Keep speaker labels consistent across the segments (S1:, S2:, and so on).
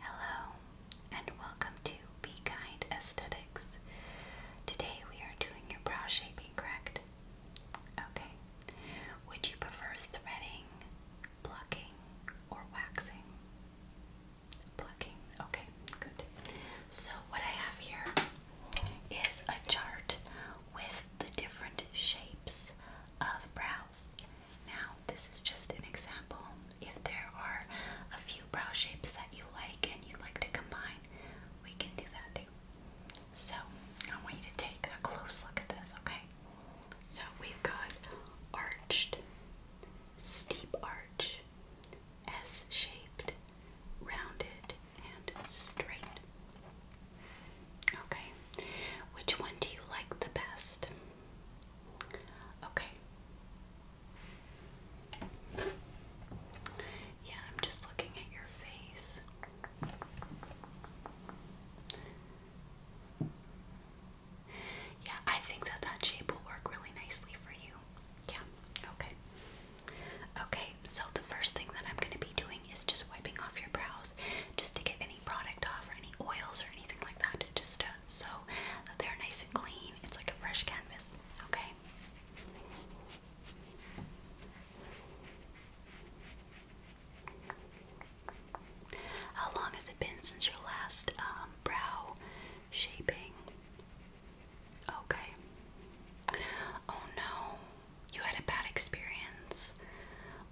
S1: Hello, and welcome to Be Kind Aesthetics. Today we are doing your brow shaping, correct? Okay. Would you prefer threading, plucking, or waxing? Plucking. Okay, good. So, what I have here is a chart with the different shapes of brows. Now, this is just an example. If there are a few brow shapes that you like and you'd like to combine, we can do that too. So, I want you to take a close look at this, okay? So, we've got arched, steep arch, S shaped, rounded, and straight. Okay, which one do you like the best? Okay. Yeah, I'm just looking at your face. Yeah, I think that that shape will work really nicely for you. Yeah, okay. Okay, so the first thing that I'm going to be doing is just wiping off your brows just to get any product off or any oils or anything like that. Just so that they're nice and clean. It's like a fresh canvas, okay? How long has it been since your last um, brow shaping? Okay. Oh no, you had a bad experience.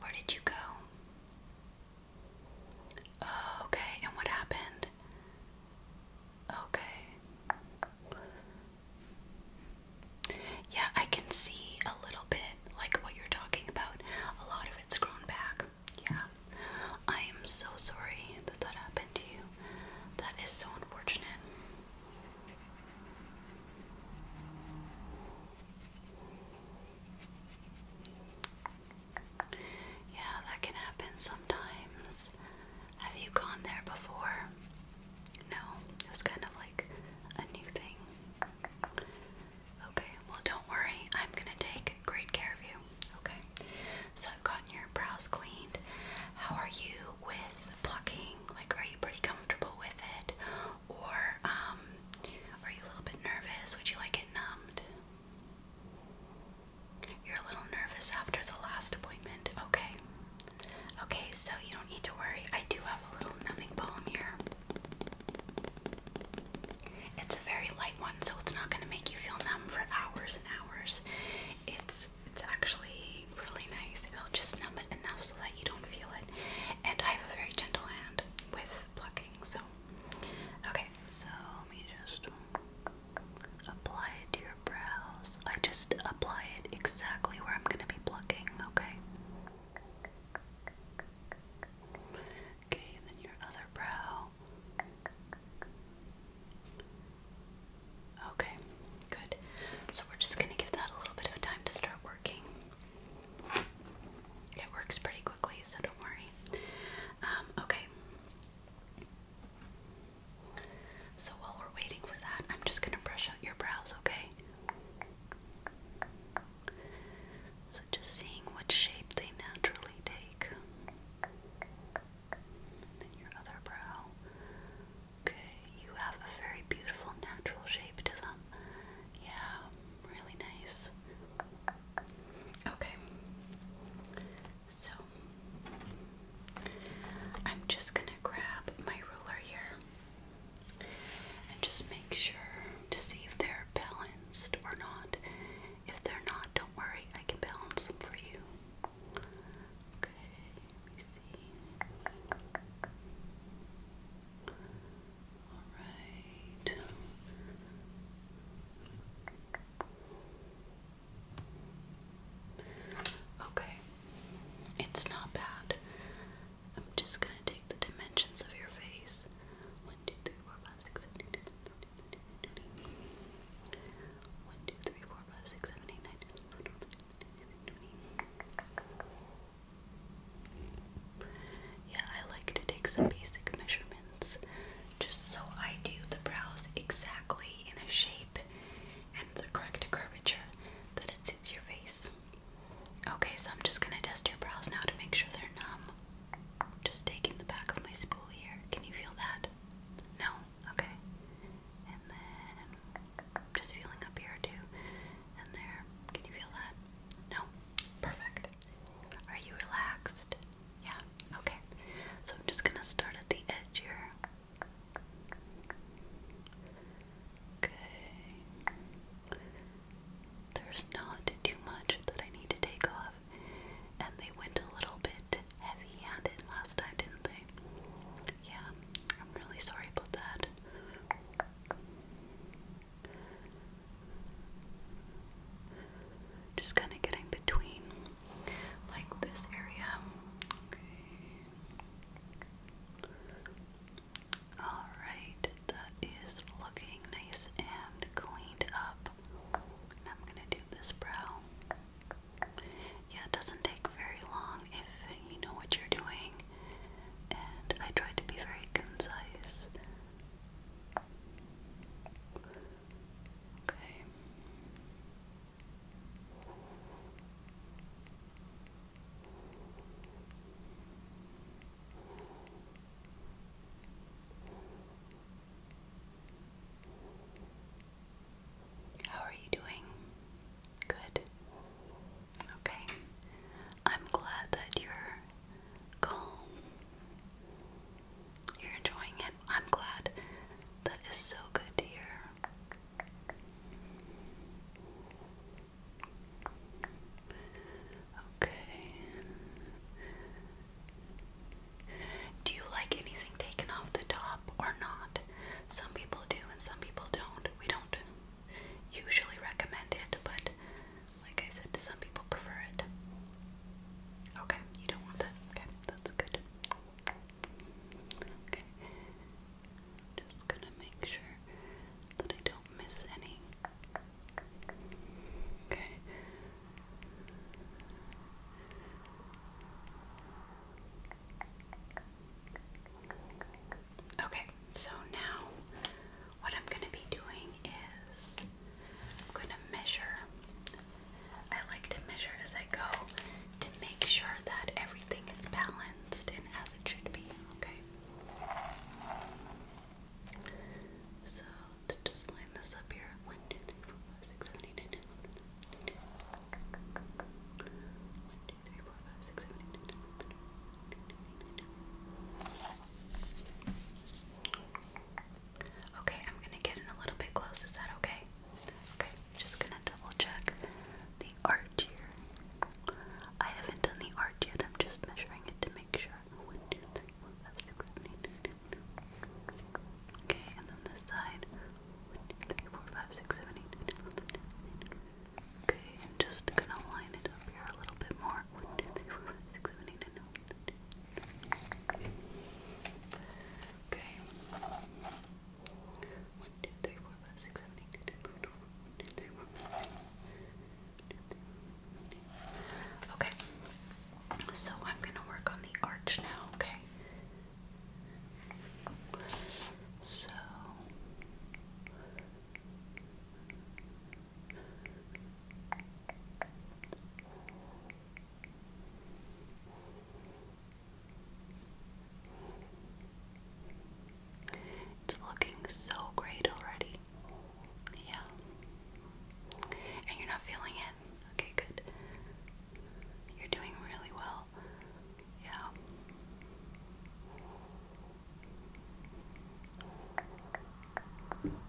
S1: Where did you go? Oh, okay, and what happened? Okay. Yeah, I can see a little bit like what you're talking about. A lot of it's grown back. Yeah. I am so sorry that that happened to you. That is so unfortunate. Yeah, that can happen sometimes. Have you gone there before? No, it was kind of like a new thing. Okay, well, don't worry, I'm gonna take great care of you. Okay, so I've gotten your brows cleaned. How are you with plucking? Like, are you pretty comfortable with it? Or, um, are you a little bit nervous? Would you like it numbed? You're a little nervous after the last appointment. Okay. Okay, so you don't need to worry. I do have a little numbing balm here. It's a very light one, so it's not going to make you feel numb for hours and hours. It's it's actually really nice. It'll just numb it enough so that you don't feel it. And I have a very gentle hand with plucking, so Okay, so let me just apply it to your brows. I just apply it exactly where I'm going to be plucking, okay? Okay, and then your other brow. Okay, good. So we're just going to give that a little bit of time to start working. It works pretty quickly, so don't worry. Um, okay. So while we're waiting for that, I'm just gonna brush out your brows, okay? So just seeing what shape they naturally take. your other brow. Okay, you have a very beautiful natural shape to them. Yeah, really nice. Okay. So I'm just going to grab my ruler here and just make sure to see if they're balanced or not. If they're not, don't worry, I can balance them for you. Okay, all right. Okay, it's not bad. I'm just gonna take the dimensions of your face. One, two, three, four, five, six, seven, eight, nine, ten, eleven, twelve, thirteen, fourteen, fifteen. One, two, three, four, five, six, seven, eight, nine, ten, eleven, twelve, thirteen, fourteen. Yeah, I like to take some basic measurements just so I do the brows exactly in a shape and the correct curvature that it suits your face. Okay, so I'm just gonna test your brows now to make sure they're numb. Just taking the back of my spool here. Can you feel that? No? Okay. And then just feeling up here too. And there. Can you feel that? No? Perfect. Are you relaxed? Yeah, okay. So I'm just gonna start at the edge here. Okay. There's not too much that I need to take off. And they went a little bit heavy handed last time, didn't they? Yeah, I'm really sorry about that. Just kind of getting between like this area. Alright, that is looking nice and cleaned up. I'm gonna do this brow. Yeah, it doesn't take very long if you know what you're doing. And I try to be very concise. Okay. How are you doing? Good. Okay. I'm glad that you're calm. You're enjoying it. I'm glad. That is so good to hear. Okay. Do you like anything taken off the top or not? Some people do and some people don't. We don't usually recommend it, but like I said, some people prefer it. Okay, you don't want that. Okay, that's good. Okay, just gonna make sure that I don't miss any. Okay. Okay, so now what I'm going to be doing is I'm going to measure. I like to measure as I go to make sure that everything is balanced and as it should be, okay? So let's just line this up here. 1, 2, Okay, I'm gonna get in a little bit close. Is that okay? Okay, I'm just gonna double check the arch here. I haven't done the arch yet, I'm just measuring it to make sure. 1, 2, 3, 4, 5, Okay, and then this side. 1, 2, 3, 4, 5, 6, 7, 8, Okay, I'm just gonna line it up here a little bit more. Okay. One, two, three, four, five, six, seven, eight, nine, Okay. So I'm gonna work on the arch now, okay? So it's looking so great already. Yeah. And you're not feeling it? Okay, good. You're doing really well. Yeah.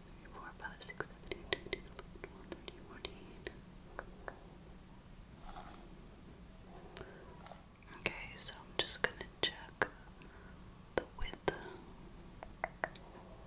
S1: three, four, five, six, seven, eight, nine, ten, eleven, twelve, thirteen, fourteen. Okay, so I'm just gonna check the width. Okay.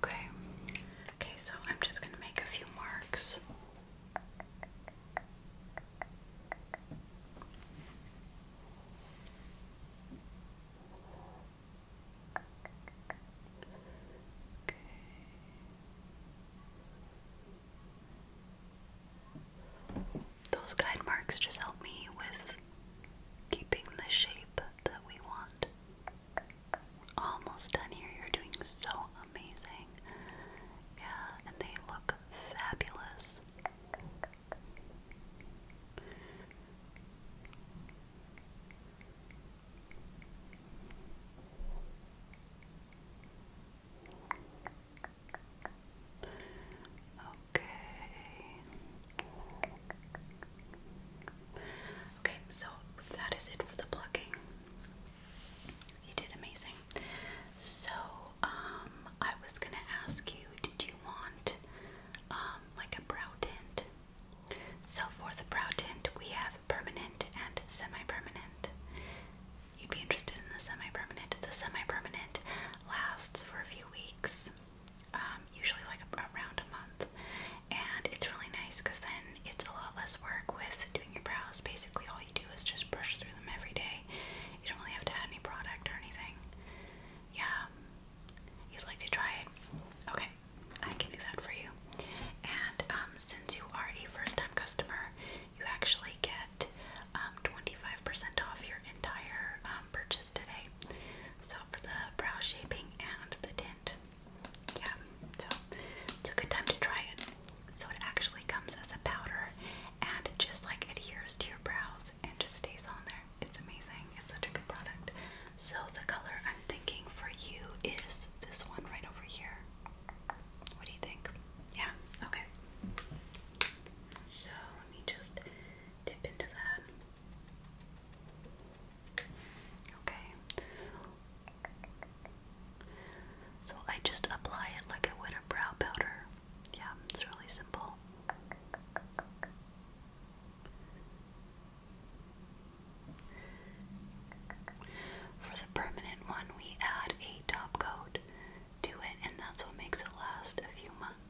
S1: Okay. Okay, so I'm just going to make a few marks. Those guide marks just help me with keeping the shape that we want. Almost done here. You're doing so amazing. Yeah, and they look fabulous. Okay. Okay, so that is it for the plucking. You did amazing. So, um, I was gonna ask you, did you want um like a brow tint? So for the brow tint, we have permanent and semi-permanent. You'd be interested in the semi-permanent. The semi-permanent lasts for a few weeks um, usually like around a month, and it's really nice because then it's a lot less work with doing your brows. Basically, all you do is just brush through them every day. You don't really have to add any product or anything. Yeah, you'd like to try it? Okay, I can do that for you. And um, since you are a first-time customer, you actually get um, 25% off your entire um, purchase today. So for the brow shaping and the tint. Yeah, so it's a good time to try it. So it actually comes as a powder and just like adheres to your brows and just stays on there. It's amazing. It's such a good product. So the color I'm thinking for you is this one right over here. What do you think? Yeah, okay. So let me just dip into that. Okay. So I just apply it like I would a brow powder. Yeah, it's really simple. For the permanent one, we add a top coat to it, and that's what makes it last a few months.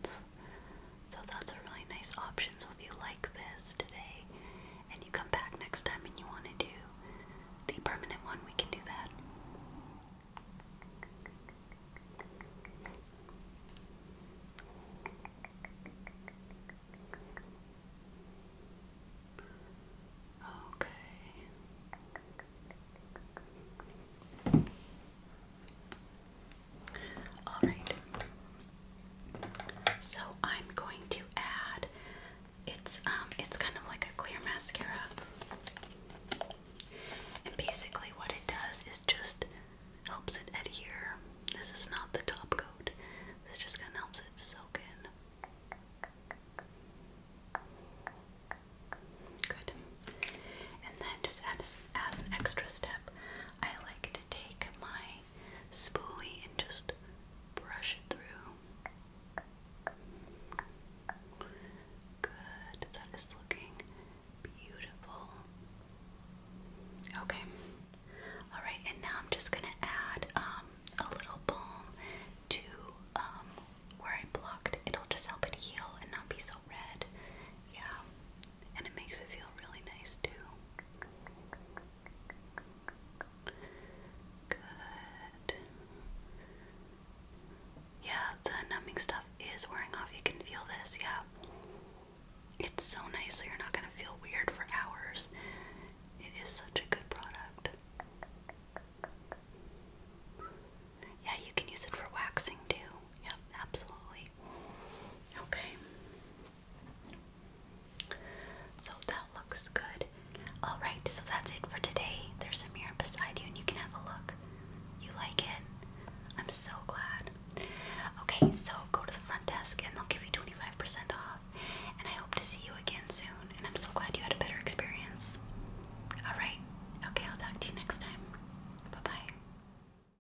S1: So that's a really nice option. So if you like this today and you come back next time and you want to do the permanent one, we can do that. Okay. Alright. So I'm going to add it's um it's kind of like a clear mascara. And basically what it does is just helps it adhere. This is not the top coat. This just kinda helps it soak in. Good. And then just as, as an extra step, I like take my spoolie and just brush it through. Good, that is looking beautiful. Okay, all right, and now I'm just gonna add um, a little balm to um, where I blocked. It'll just help it heal and not be so red. Yeah, and it makes it feel really nice too. Good. Yeah, the numbing stuff is wearing off. You can feel this, yeah. It's so nice, so you're not gonna feel weird for hours. It is such a good product. Yeah, you can use it for waxing too. Yep, absolutely. Okay. So that looks good. Alright, so that's it for today. There's a mirror beside you and you can have a look. You like it? I'm so glad. Okay, so go to the front desk and they'll give you 25% off. And I hope to see you again soon. And I'm so glad you had a better experience. Alright, okay, I'll talk to you next time. Bye bye.